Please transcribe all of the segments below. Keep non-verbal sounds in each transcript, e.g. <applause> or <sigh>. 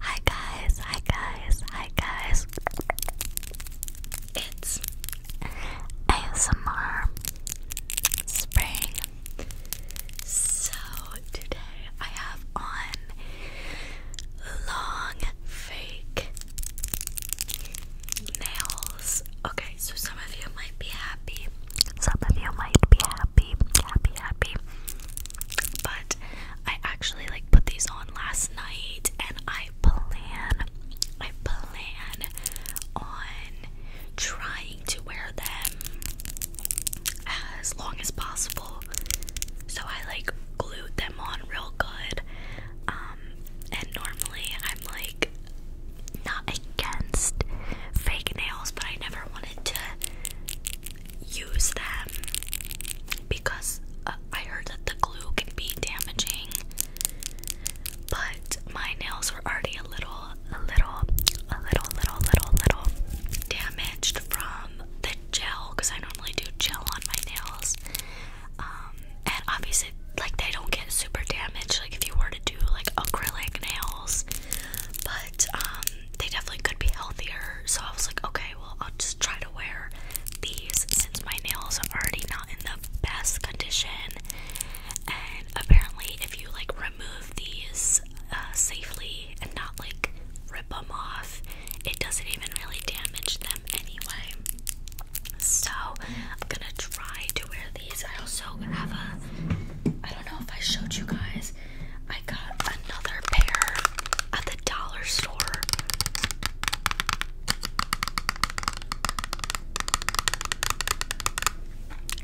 Hi guys, hi guys, hi guys. It's ASMR Spring. So today I have on long fake nails. Okay, so some of you might be happy. Some of you might be happy happy, happy, happy. But I actually like put these on last night and I plan, I plan on trying to wear them as long as possible. So I like glued them on real good. Um, and normally I'm like not against fake nails, but I never wanted to use them because uh, I heard that the glue can be damaging. But my nails were already a little, a little, a little, little, little, little damaged from the gel because I normally do gel on my nails. Um, and obviously, like they don't get super damaged, like if you were to do like acrylic nails. But um, they definitely could be healthier. So I was like, okay, well, I'll just try to wear these since my nails are already not in the best condition. And apparently, if you like remove these uh, safely and not like rip them off, it doesn't even really damage them anyway. So I'm gonna try to wear these. I also have a. I don't know if I showed you guys. I got another pair at the dollar store.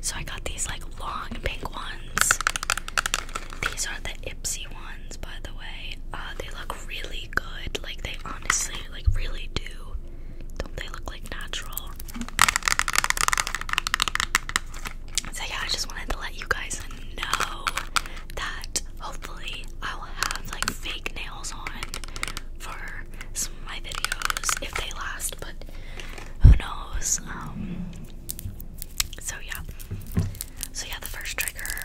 So I got these like long pink ones. These are the Ipsy ones, by the way. Uh, they look really good. Like they honestly, like really do. Don't they look like natural? So yeah, I just wanted to let you guys know that hopefully I'll have like fake nails on for some of my videos if they last, but who knows? Um, so yeah. So yeah, the first trigger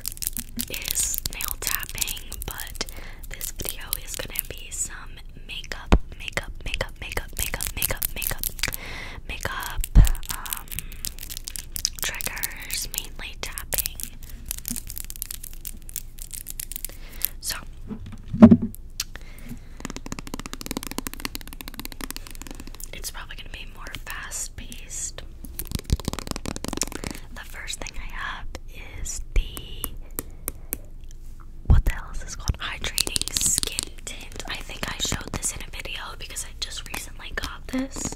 is nail tapping, but this video is gonna be some makeup, makeup, makeup, makeup, makeup, makeup, makeup, makeup, um, um, triggers, mainly tapping. So, it's probably going to be more fast paced. The first thing I have is the. What the hell is this called? Hydrating skin tint. I think I showed this in a video because I just recently got this.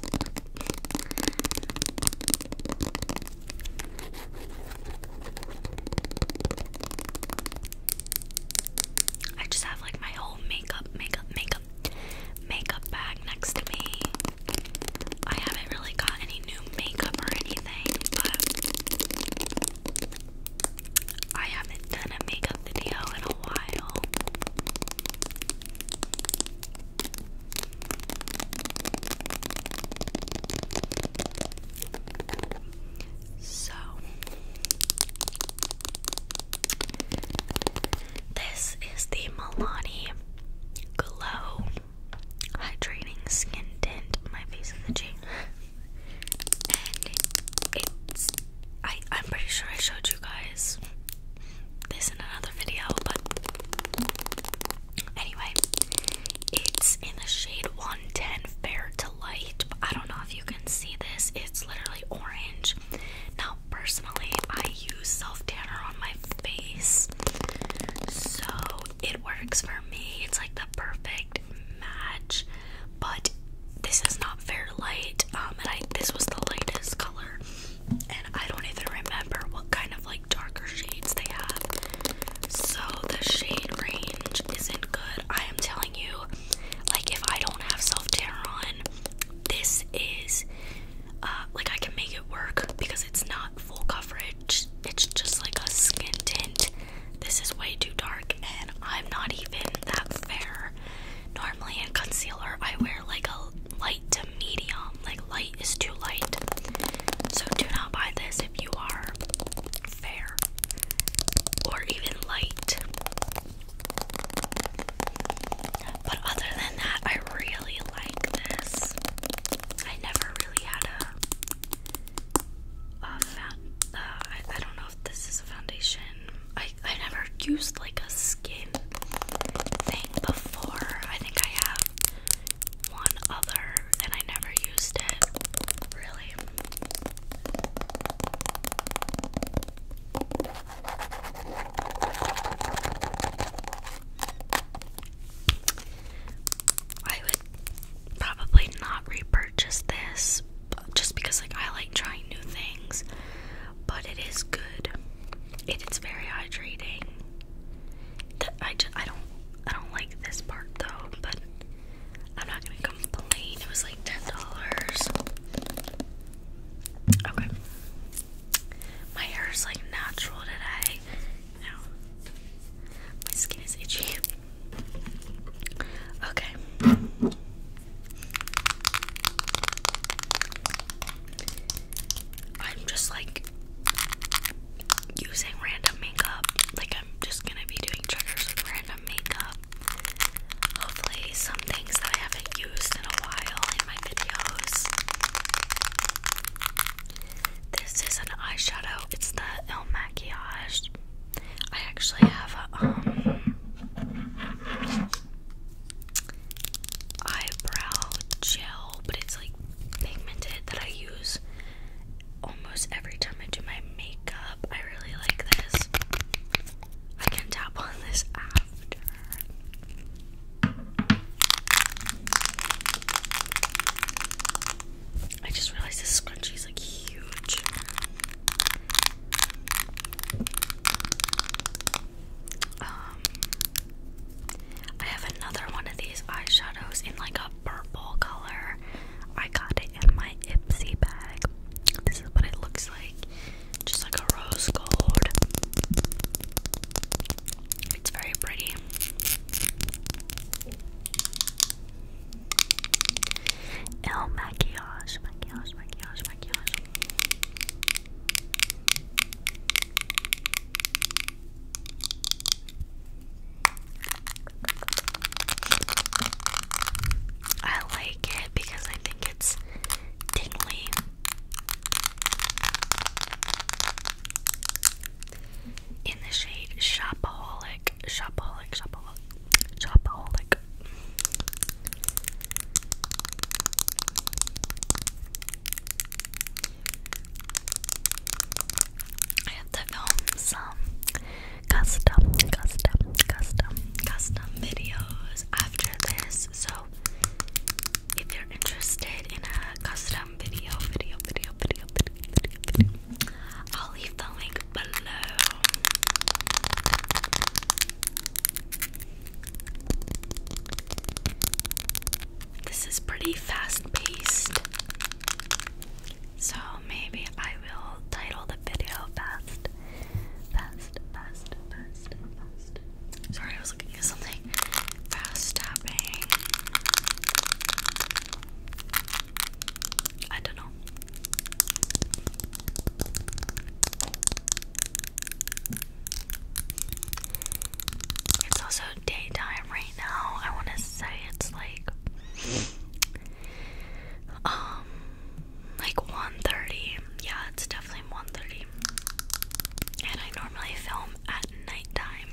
I just have like my whole makeup, makeup, makeup, makeup bag next to me. I haven't really got any new makeup or anything, but I haven't done a makeup video in a while. So, this is the Milani Glow Hydrating Skin Tint. My face is itching. and it's. I, I'm pretty sure I showed you guys this in another video, but anyway, it's in the shade 110 fair to light. I don't know if you can see this, it's literally orange. Now, personally, I use self tanner on my face, so it works for me. It's like the perfect match, but this is not fair light, um, and I this was the lightest color, and I don't even remember what kind of like darker shades they have. So the shade range isn't good. I am telling you, like if I don't have self tan on, this is uh, like I can make it work because it's not full coverage. It's just like a skin tint. This is way too dark, and I'm not even that fair. Normally in concealer, I wear like a light to medium, like light is too light. So do not buy this if you are fair or even light. But other than that, I really like this. I never really had a. Uh, don't know if this is a foundation I I never used like a skin thing before. I think I have one other and I never used it. Really. I would probably not repurchase this just because like I like trying new things, but it is good. it's very hydrating. The, I just, I don't I don't like this part though, but I'm not gonna complain. It was like ten dollars. Okay. My hair is like natural today. Now my skin is itchy. Okay. I'm just like using random makeup. Like, I'm just gonna be doing triggers with random makeup. Hopefully, some things that I haven't used in a while in my videos. This is an eyeshadow, it's the Il Maquillage. I actually have a, um, eyebrow gel, but it's like pigmented that I use almost every time I do my makeup. I really like this. I can tap on this after. I just realized this scrunchie is like huge. Um, I have another one of these eyeshadows in like a purple color. I got it in my Ipsy bag. This is what it looks like. Just like a rose gold. It's very pretty. El maquillage, maquillage, maquillage, maquillage. I like it because I think it's tingly. In the shade Shopaholic, Shopaholic, Shopaholic, Shopaholic. I have to film some custom, custom, custom, custom videos after this. So if you're interested in a custom video, video, video, video, video, video, video, I'll leave the link below. This is pretty fast paced. So maybe I will title the video fast. Fast, fast, fast, Sorry, I was looking for something. Fast tapping. I don't know. It's also daytime right now. I want to say it's like um like 1:30. Yeah, it's definitely 1:30. And I normally film at nighttime.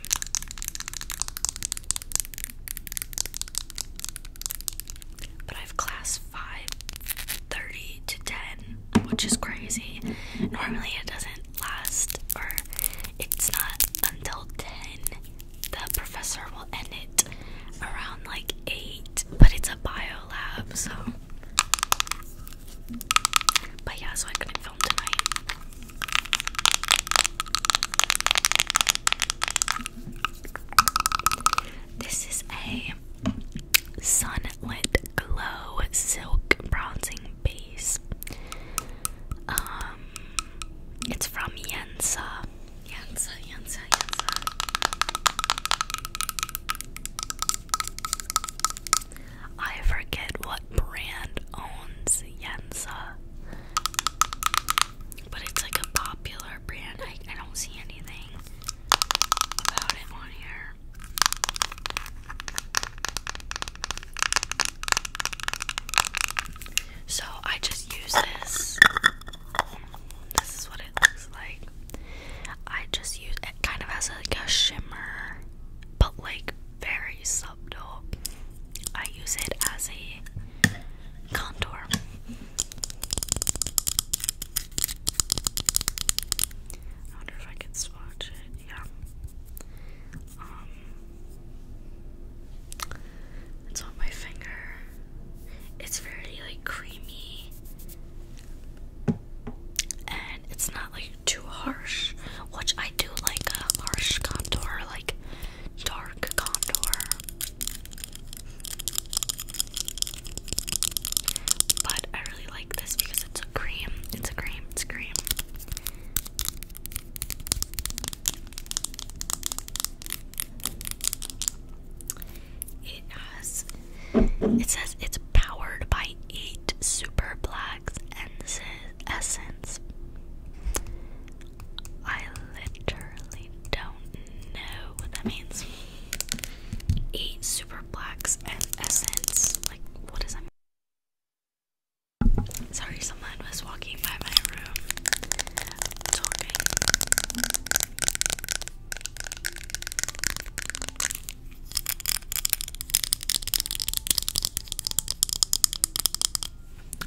But I have class 5 30 to 10, which is crazy. Normally it doesn't last, or it's not until 10. The professor will end it around like 8, but it's a bio lab, so. But yeah, so I couldn't film tonight. This is a Sunlit Glow Silk Bronzing Base. Um, it's from Yensa. Yensa, Yensa, Yensa. I forget what brand owns Yensa, but it's like a popular brand. I don't see anything about it on here. So I just use this. This is what it looks like. I just use it kind of as like a shimmer, but like very subtle. I use it as a contour. I wonder if I can swatch it. Yeah. Um, it's on my finger. It's very like creamy, and it's not like too harsh. Which I do like a harsh contour, like dark contour. But I really like this because it's cream. It's a cream. It's a cream. It has. It says it's powered by eight super blacks and essence. I literally don't know what that means. Eight super blacks and essence. Sorry, someone was walking by my room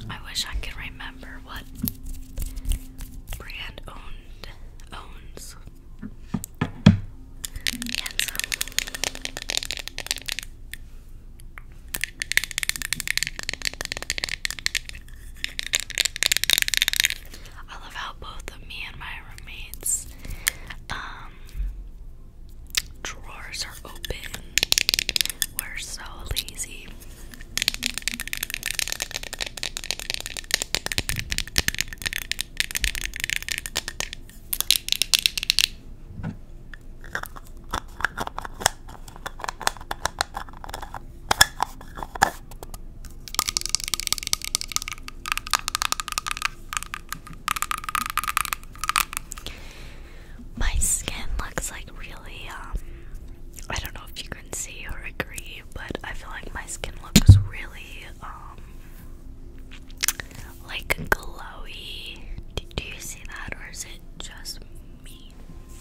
I wish I could remember what brand owned owns handsome. I love how both of me and my roommates um drawers are open. We're so lazy. My skin looks like really, um, I don't know if you can see or agree, but I feel like my skin looks really, um, like glowy. Do, you see that, or is it just me?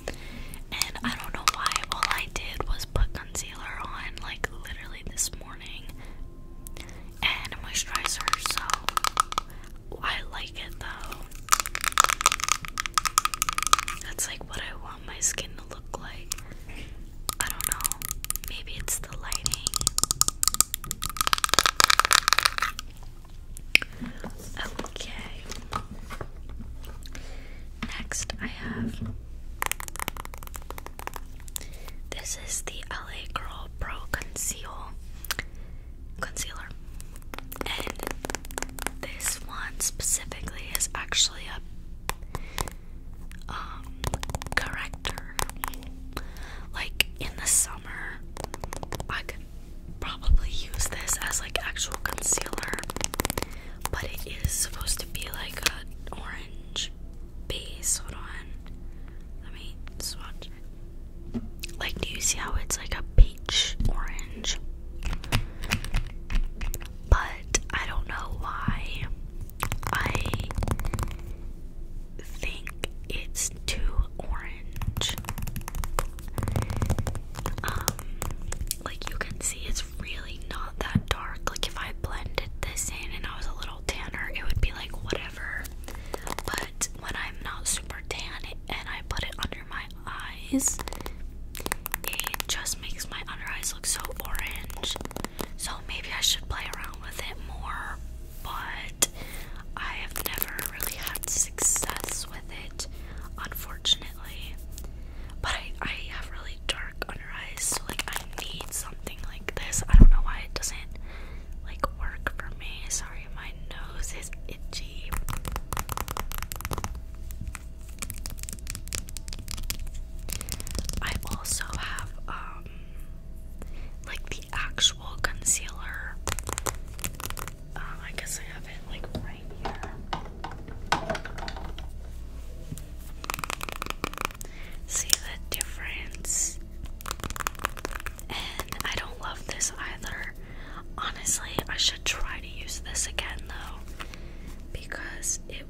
And I don't know why. All I did was put concealer on, like literally this morning, and a moisturizer. So I like it though. That's like what I want my skin to look like. I don't know. Maybe it's the lighting. Okay. Next, I have this is the LA Girl Pro Conceal Concealer, and this one specifically is actually a um corrector like in the summer I could probably use this as like actual concealer but it is supposed to be like an orange base hold on let me swatch like do you see how it's like a peach orange but I don't know why I think it's too orange. Um, like you can see, it's really not that dark. Like if I blended this in and I was a little tanner, it would be like whatever. But when I'm not super tan and I put it under my eyes, it just makes my under eyes look so orange. So maybe I should play around with it more, but I have never really had success with it, unfortunately. But I, I have really dark under eyes, so like I need something like this. I don't know why it doesn't like work for me. Sorry, my nose is itchy. I also have um like the actual concealer. Um, I guess I have it like right here. See the difference? And I don't love this either. Honestly, I should try to use this again though, because it,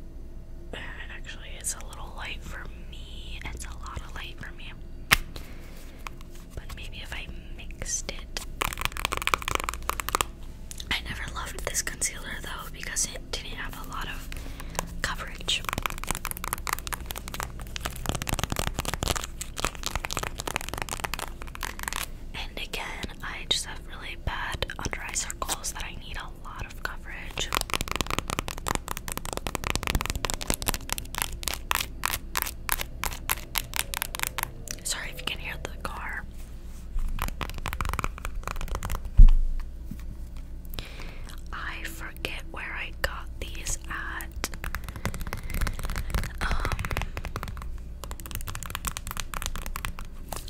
it actually is a little light for me. It's a lot of light for me. But maybe if I mixed it. I never loved this concealer though because it didn't have a lot of coverage. And again, I just have really bad under eye circles that I need a lot of coverage. Sorry if you can hear the car. I forget where I got these at. Um,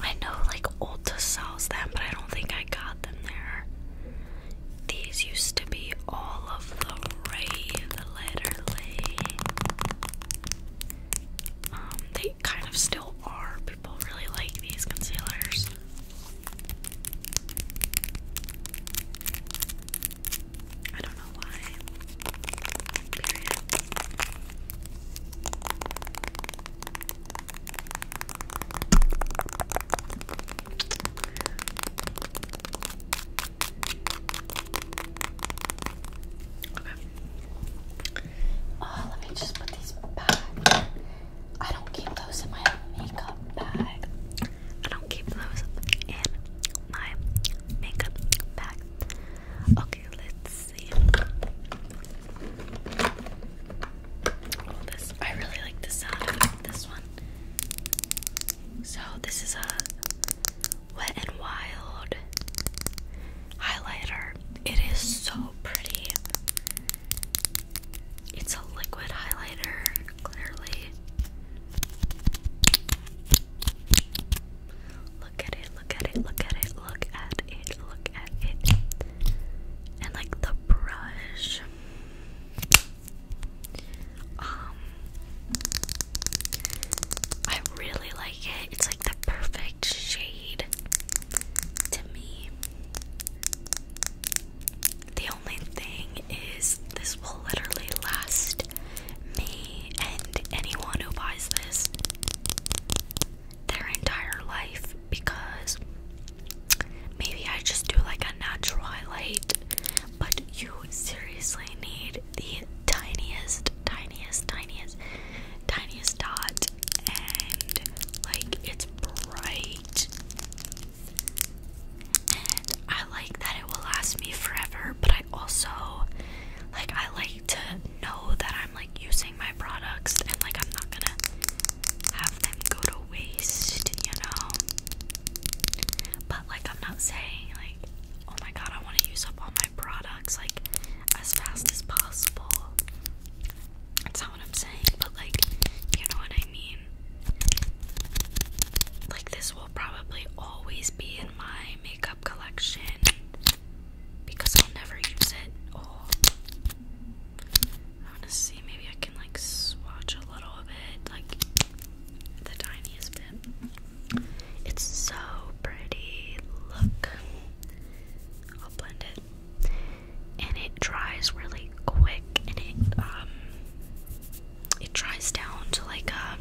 I know like Ulta sells them, but I don't think I got them there. These used to be all of the rave, literally. Um, they kind of still are. People really like these concealers. I don't know why. Oh, let me just put these back. I don't keep those in my makeup bag. I don't keep those in my makeup bag. Okay, let's see. Oh, I really like the sound this one. So this is a Wet and Wild highlighter. It is so pretty. It's a liquid highlighter, clearly. Look at it, look at it, look at it, look at it, look at it. And like the brush. Um, I really like it. It's like the perfect shade to me. The only thing is, this will literally last me and anyone who buys this their entire life because maybe I just do like a natural highlight but you seriously need the tiniest, tiniest, tiniest, tiniest dot, and like it's bright. And I like that it will last me forever, but I also like I like to know that I'm like using my products and like I'm not gonna have them go to waste, you know like I'm not saying like oh my god I want to use up all my products like as fast as possible. That's not what I'm saying, but like you know what I mean. Like this will probably always be in my makeup collection because I'll never use it all. Oh. I wanna see maybe I can like swatch a little of it like the tiniest bit. It's so pretty. Look. I'll blend it. And it dries really quick and it um it dries down to like um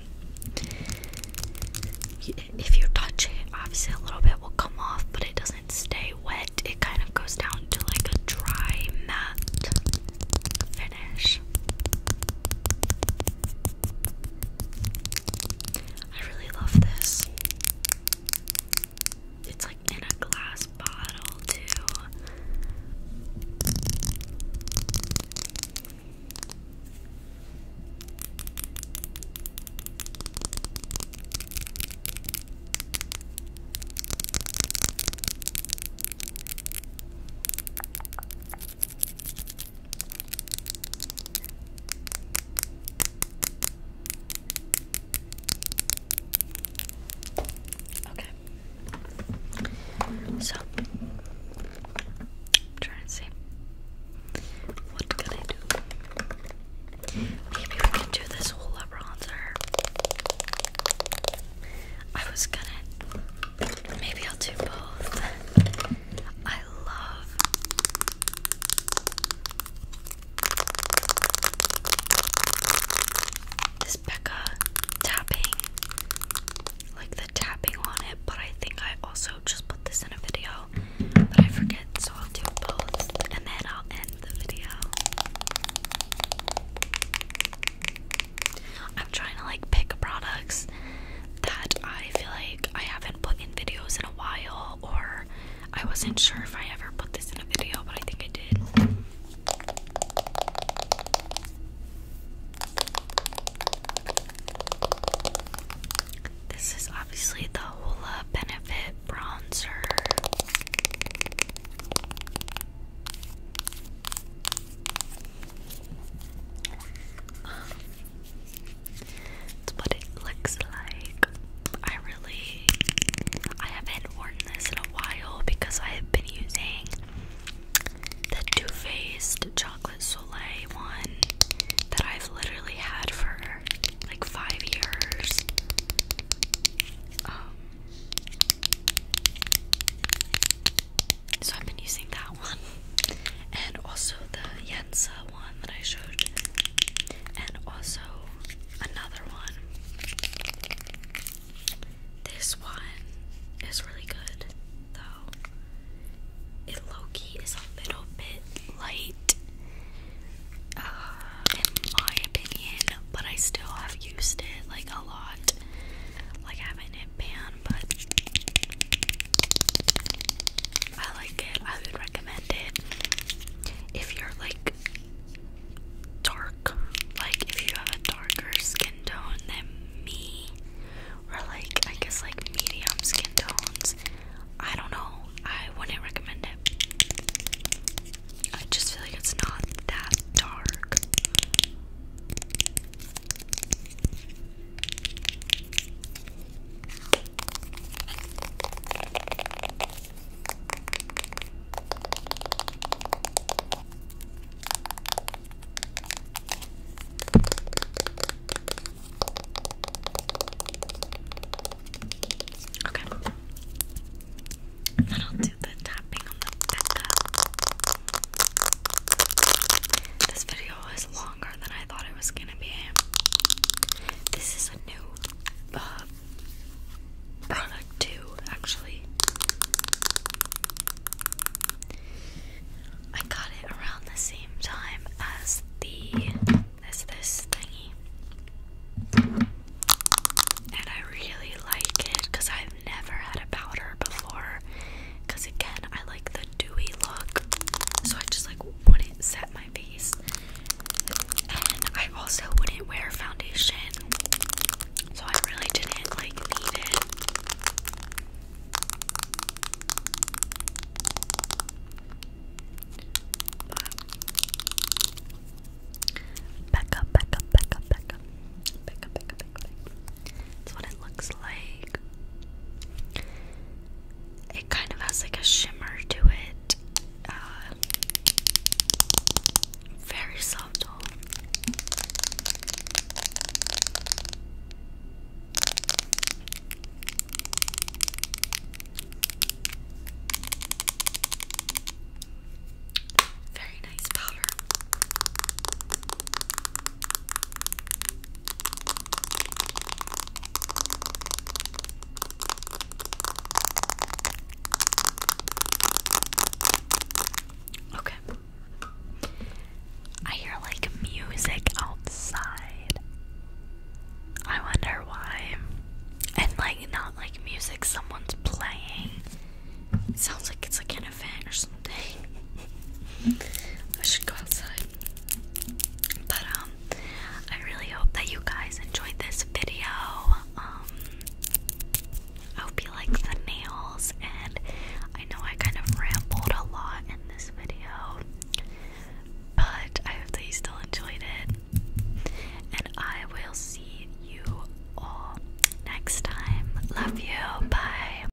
if you touch it, obviously a little bit will come off, but it doesn't stay wet. It kind of goes down to like a dry matte. I really love this. It's like in a glass bottle, too. Okay. So, trying to see what can I do. Maybe we can do this whole bronzer. I was gonna Maybe I'll do both. I love this Becca tapping, like the tapping on it, but I think I also just put this in a video, but I forget, so I'll do both and then I'll end the video. I'm trying to like pick products that I feel like I haven't put in videos in a while, or I wasn't sure if I ever put this in a video, but I think I did. This is obviously the Hoola Benefit Bronzer. That's what it looks like. I really I haven't worn this in a while because I have been using the Too Faced Chocolate Soleil one that I've literally had for like five years. Um, so I've been using that one. <laughs> And also the Yensa one that I showed. And also another one. This one is really good though. It Loki is a little bit light uh, in my opinion, but I still have used it like a lot like having it banned, but I like it. I would recommend it if you're like dark, like if you have a darker skin tone than me, or like I guess like medium skin tones. I don't know. I wouldn't recommend it. I just feel like it's not that dark. Okay. Then I'll do the tapping on the back. This video is longer than I thought it was gonna be. This is a new uh, product, too, actually. I got it around the same time as the as this thingy. And I really like it because I i never had a powder before because again I like the dewy look so I just like wouldn't set my face and I also wouldn't wear foundation so I really didn't like need it but back up back up back up that's what it looks like it kind of has like a shimmer to it. Uh, very subtle. Very nice powder. Okay. I hear like music outside. I wonder why. And like not like music someone's playing. sounds like it's like an event or something. I should go outside. But um I really hope that you guys enjoyed this video. Um I hope you like the nails and I know I kind of rambled a lot in this video. But I hope that you still enjoyed it. And I will see you all next time. Love you. Bye.